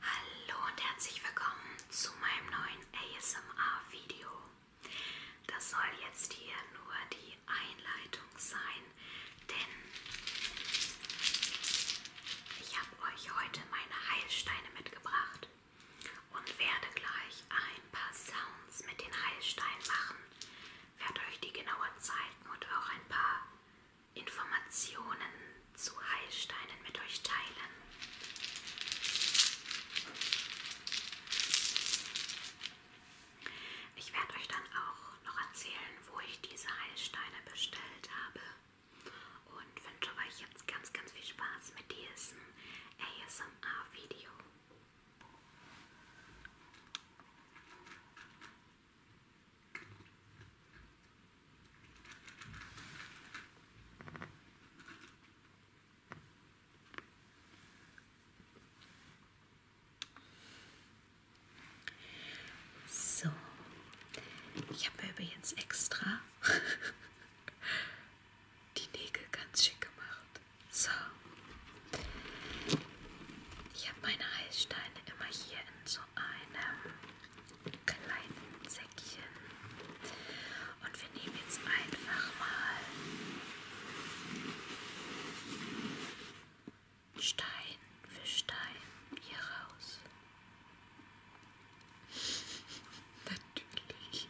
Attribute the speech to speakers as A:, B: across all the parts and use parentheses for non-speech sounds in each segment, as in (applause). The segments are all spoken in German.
A: Hallo und herzlich willkommen zu meinem neuen ASMR-Video. Das soll jetzt hier nur die Einleitung sein, denn ich habe euch heute meine Heilsteine mitgebracht und werde gleich ein paar Sounds mit den Heilsteinen machen. Werde euch die genauer zeigen und auch ein paar Informationen zu Heilsteinen mit euch teilen. Ich werde euch dann auch noch erzählen, wo ich diese Heilsteine bestellt habe und wünsche euch jetzt ganz, ganz viel Spaß mit diesem ASMR-Video. So, ich habe übrigens extra (laughs) die Nägel ganz schick gemacht. So, ich habe meine Heilsteine immer hier in so zu einem kleinen Säckchen. Und wir nehmen jetzt einfach mal Stein für Stein hier raus. (laughs) Natürlich.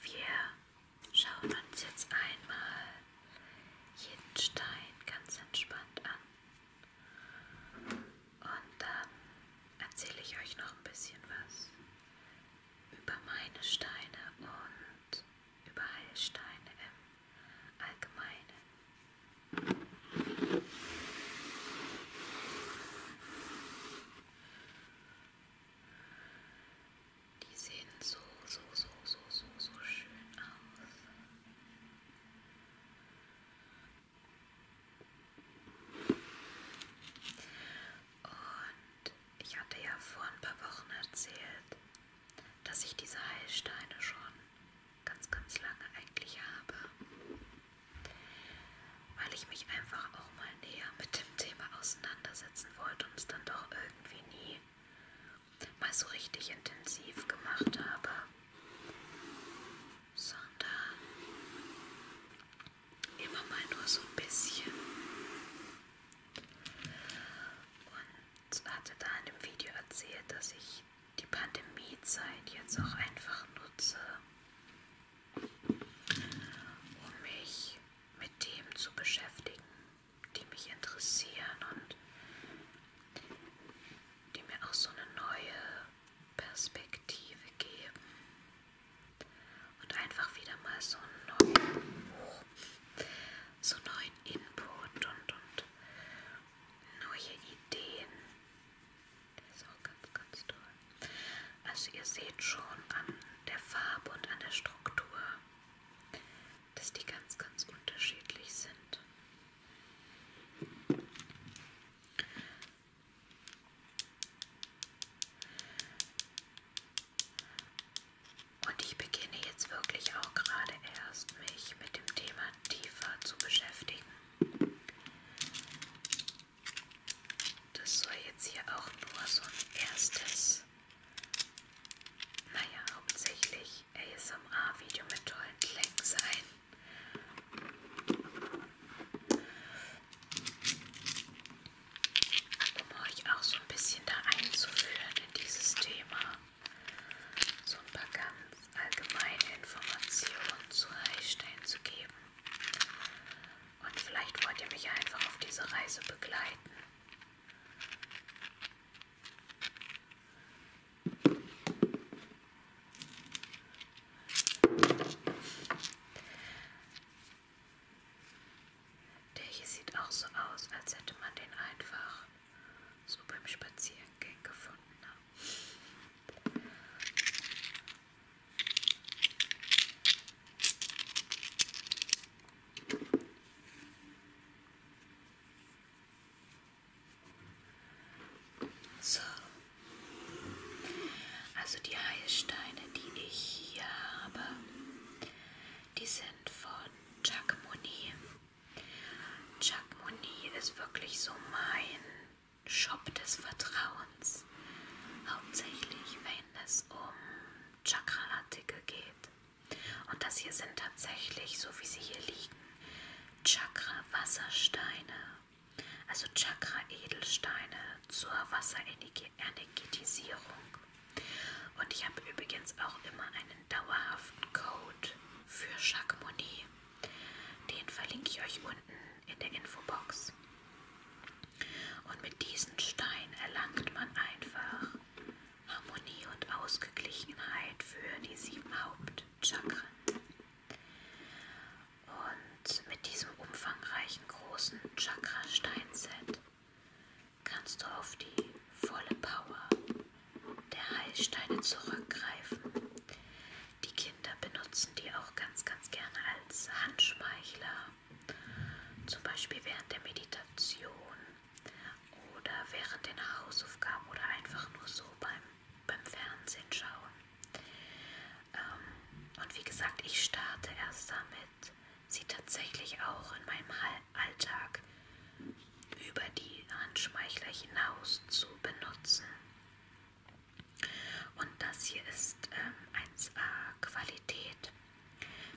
A: Wir schauen uns jetzt einmal jeden Stein ganz entspannt an. Und dann erzähle ich euch noch ein bisschen was über meine Steine und über Heilsteine im Allgemeinen. Die sehen so, so, so, so, so, so schön aus. Und ich hatte ja vor ein paar Wochen erzählt, dass ich diese Heilsteine schon ganz, ganz lange eigentlich habe, weil ich mich einfach auch mal näher mit dem Thema auseinandersetzen wollte und es dann doch irgendwie nie mal so richtig intensiv gemacht habe, sondern Immer mal nur so ein bisschen. Und hatte da in dem Video erzählt, dass ich die Pandemiezeit jetzt auch einfach nutze, um mich mit Themen zu beschäftigen, die mich interessieren und die mir auch so eine neue Perspektive geben und einfach wieder mal so einen neuen, oh, so neuen Input und, und neue Ideen. Das ist auch ganz, ganz toll. Also ihr seht schon an der Farbe und an der Struktur, dass die ganz, ganz unterschiedlich sind. Und ich beginne jetzt wirklich auch gerade erst, mich mit dem Thema tiefer zu beschäftigen. Das soll jetzt hier auch nur so ein erstes, naja, hauptsächlich ASMR-Video mit tollen Klängen sein. Um euch auch so ein bisschen da einzuführen in dieses Thema. So ein paar ganz allgemeine Informationen zu Reichstein zu geben. Und vielleicht wollt ihr mich einfach auf diese Reise begleiten. Der hier sieht auch so aus, als hätte man den einfach so beim Spazierengehen gefunden. Ne? So. Also die Heilsteine, die ich hier habe, die sind von Chuck Moni. Chuck Moni ist wirklich so mein Shop des Vertrauens. Hauptsächlich, wenn es um Chakra-Artikel geht. Und das hier sind tatsächlich, so wie sie hier liegen, Chakra-Wassersteine also Chakra-Edelsteine zur Wasserenergetisierung. Und ich habe übrigens auch immer einen dauerhaften Code für Chakmonie. Den verlinke ich euch unten in der Infobox. Und mit diesen Steinen erlangt man einfach Harmonie und Ausgeglichenheit für die sieben Hauptchakren. Und mit diesem umfangreichen großen Chakra-Steinset kannst du auf die volle Power der Heilsteine zurückgreifen. Die Kinder benutzen die auch ganz, ganz gerne als Handschmeichler, zum Beispiel während der Meditation oder während den Hausaufgaben oder einfach nur so beim, beim Fernsehen schauen. Ähm, und wie gesagt, ich starte erst damit, sie tatsächlich auch in meinem Alltag über die Handschmeichler hinaus zu benutzen. Und das hier ist ähm, 1A Qualität.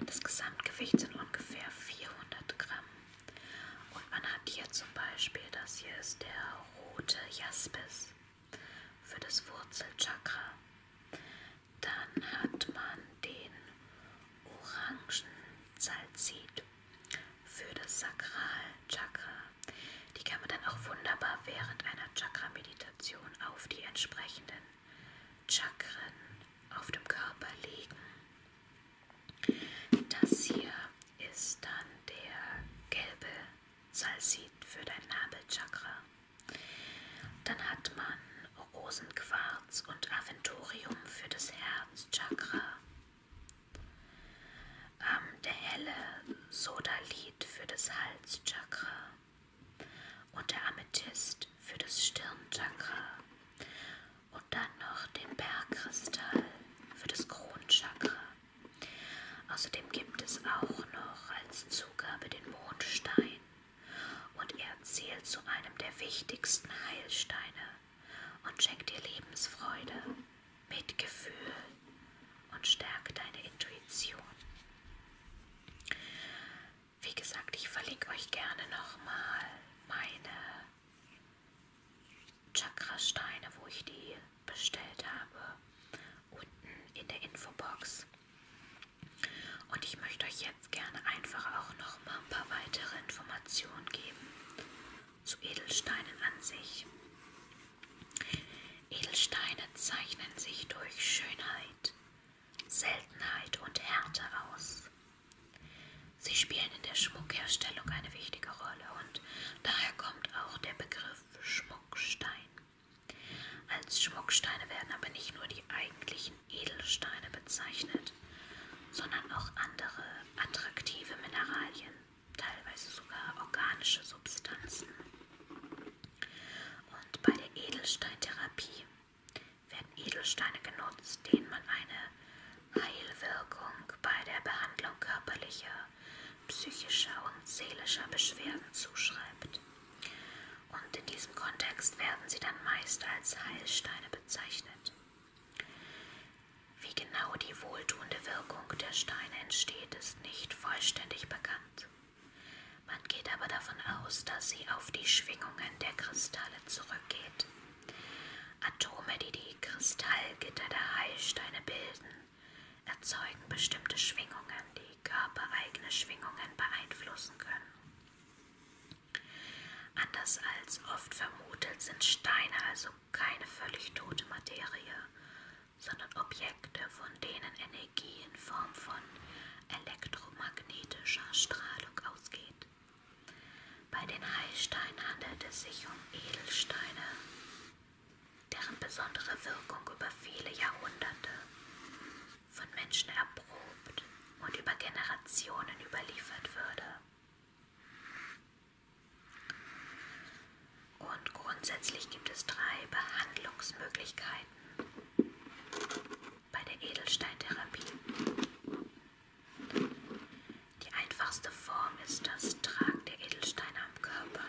A: Das Gesamtgewicht sind ungefähr 400 Gramm. Und man hat hier zum Beispiel, das hier ist der rote Jaspis für das Wurzelchakra. Dann hat man den Orangensalzit für das Sakralchakra. Die kann man dann auch wunderbar während einer Chakra-Meditation auf die entsprechenden Chakren auf dem Körper legen. Das hier ist dann der gelbe Salsit für dein Nabelchakra. Dann hat man Rosenquarz und Aventurium für das Herzchakra. Ähm, der helle Sodalit für das Halschakra und der Amethyst für das Stirnchakra und dann noch den Bergkristall für das Kronchakra. Außerdem gibt es auch noch als Zugabe den Mondstein und er zählt zu einem der wichtigsten Heilsteine und schenkt dir Lebensfreude, Mitgefühl und stärkt deine Intuition. Wie gesagt, ich verlinke euch gerne nochmal meine Chakrasteine, wo ich die bestellt habe, unten in der Infobox. Und ich möchte euch jetzt gerne einfach auch noch mal ein paar weitere Informationen geben zu Edelsteinen an sich. Edelsteine zeichnen sich durch Schönheit, Seltenheit und Härte aus. Sie spielen in der Schmuckherstellung eine wichtige Rolle und daher kommt auch der Begriff Schmuckstein. Als Schmucksteine werden aber nicht nur die eigentlichen Edelsteine bezeichnet, sondern auch andere attraktive Mineralien, teilweise sogar organische Substanzen. Und bei der Edelsteintherapie werden Edelsteine genutzt, denen man eine Heilwirkung bei der Behandlung körperlicher, psychischer und seelischer Beschwerden zuschreibt. Und in diesem Kontext werden sie dann meist als Heilsteine bezeichnet. Wie genau die wohltuende Wirkung der Steine entsteht, ist nicht vollständig bekannt. Man geht aber davon aus, dass sie auf die Schwingungen der Kristalle zurückgeht. Atome, die die Kristallgitter der Heilsteine bilden, erzeugen bestimmte Schwingungen, die körpereigene Schwingungen beeinflussen können. Anders als oft vermutet sind Steine also keine völlig tote Materie, sondern Objekte, von denen Energie in Form von elektromagnetischer Strahlung ausgeht. Bei den Heilsteinen handelt es sich um Edelsteine, deren besondere Wirkung über viele Jahrhunderte von Menschen erprobt und über Generationen überliefert würde. Und grundsätzlich gibt es drei Behandlungsmöglichkeiten bei der Edelsteintherapie. Die einfachste Form ist das Tragen der Edelsteine am Körper.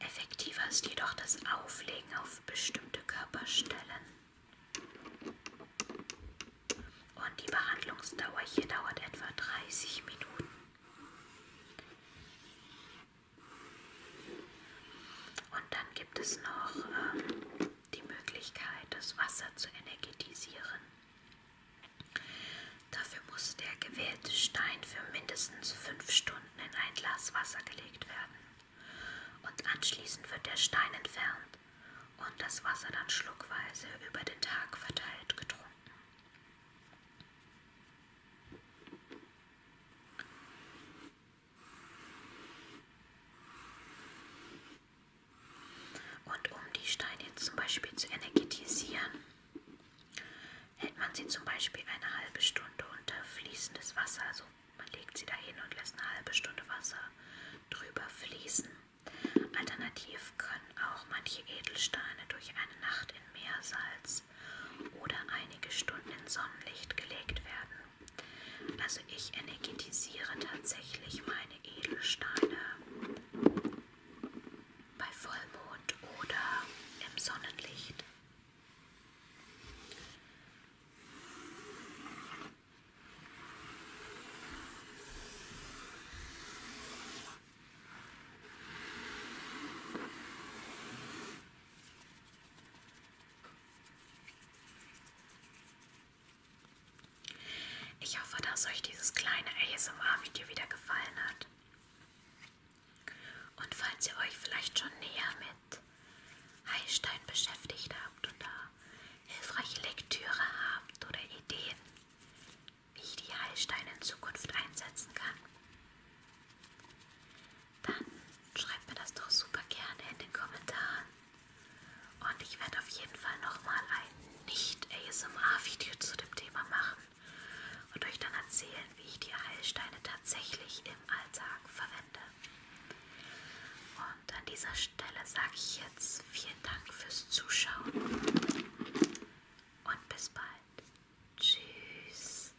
A: Effektiver ist jedoch das Auflegen auf bestimmte Körperstellen. Und die Behandlungsdauer hier dauert etwa 30 Minuten. Und dann gibt es noch ähm, die Möglichkeit, das Wasser zu energetisieren. Dafür muss der gewählte Stein für mindestens fünf Stunden in ein Glas Wasser gelegt werden. Und anschließend wird der Stein entfernt und das Wasser dann schluckweise über den Tag verteilt getrunken. Und um die Steine jetzt zum Beispiel zu energetisieren, hält man sie zum Beispiel eine halbe Stunde unter fließendes Wasser. Also man legt sie dahin und lässt eine halbe Stunde Wasser drüber fließen. Alternativ können auch manche Edelsteine durch eine Nacht in Meersalz oder einige Stunden in Sonnenlicht gelegt werden. Also ich energetisiere tatsächlich meine Edelsteine bei Vollmond oder im Sonnenlicht. Ich hoffe, dass euch dieses kleine ASMR-Video wieder gefallen hat. Und falls ihr euch vielleicht schon näher mit Heilstein beschäftigt habt oder hilfreiche Lektüre habt oder Ideen, wie ich die Heilsteine in Zukunft einsetzen kann, dann schreibt mir das doch super gerne in den Kommentaren. Und ich werde auf jeden Fall nochmal ein Nicht-ASMR-Video zu dem Thema machen und euch dann erzählen, wie ich die Heilsteine tatsächlich im Alltag verwende. Und an dieser Stelle sage ich jetzt vielen Dank fürs Zuschauen und bis bald. Tschüss.